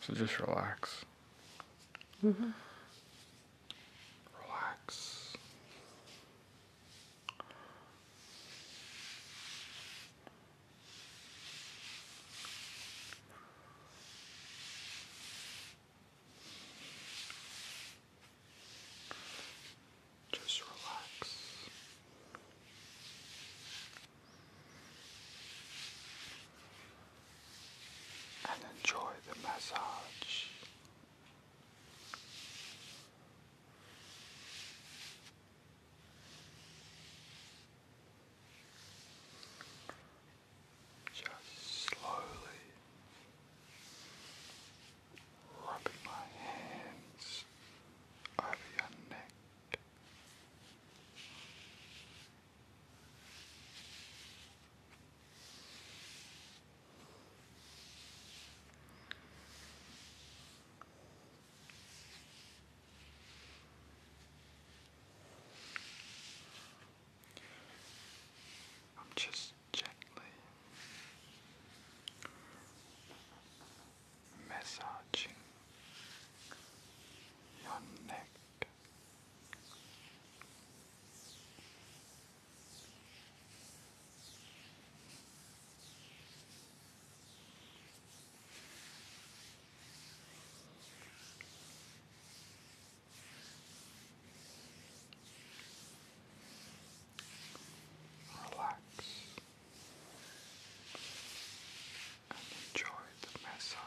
So just relax. Mm-hmm. Relax. Just relax and enjoy the massage. Just slowly rubbing my hands over your neck. I'm just gently massaging your neck. Relax and enjoy the massage.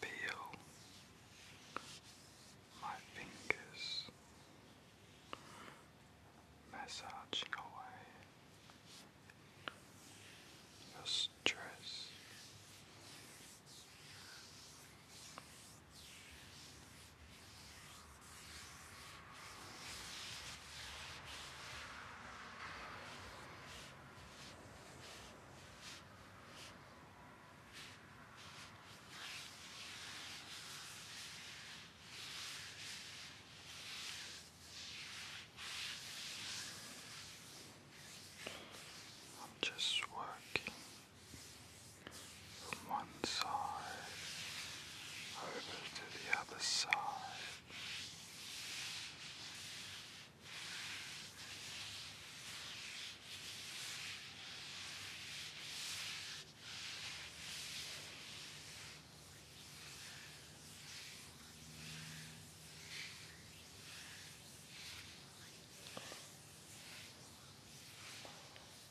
Peel my fingers, massaging away your stress. I'm just working from one side over to the other side.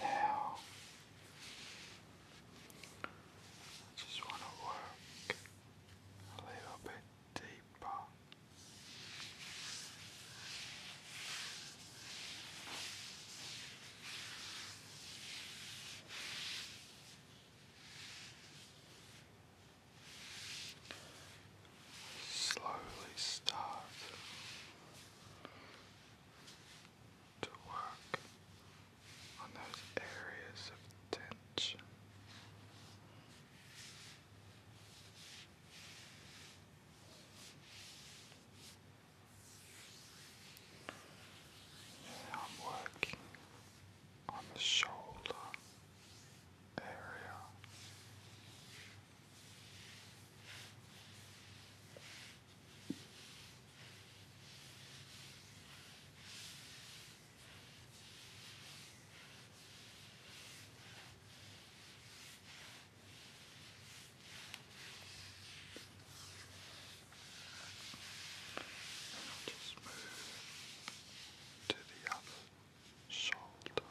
Now, I just want to work a little bit deeper. Slowly start to work on those areas of tension. I'm working on the shoulder area. I'll just move to the other shoulder.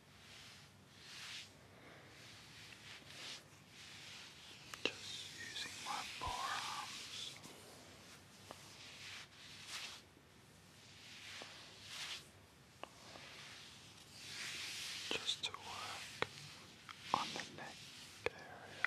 Just using my forearms. Just to work on the neck area.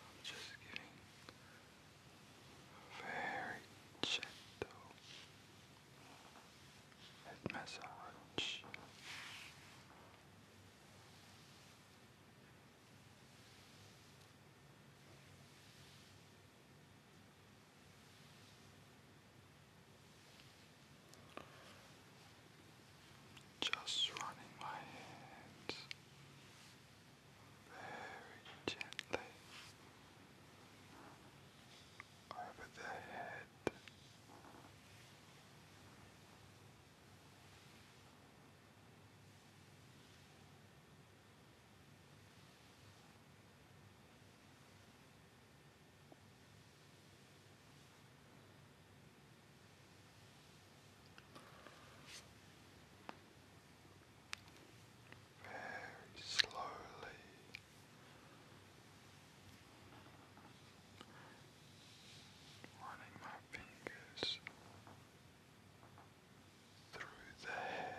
I'm just giving a very gentle head massage just running my hands very gently over the head very slowly. Running my fingers through the hair,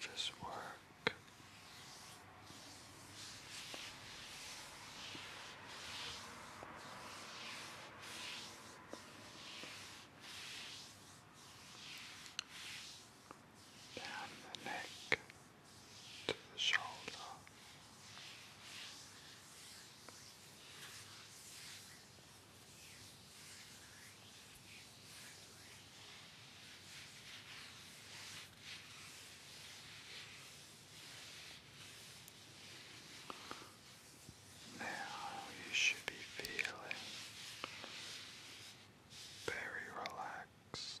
just work down the neck to the shoulder. Now you should be feeling very relaxed.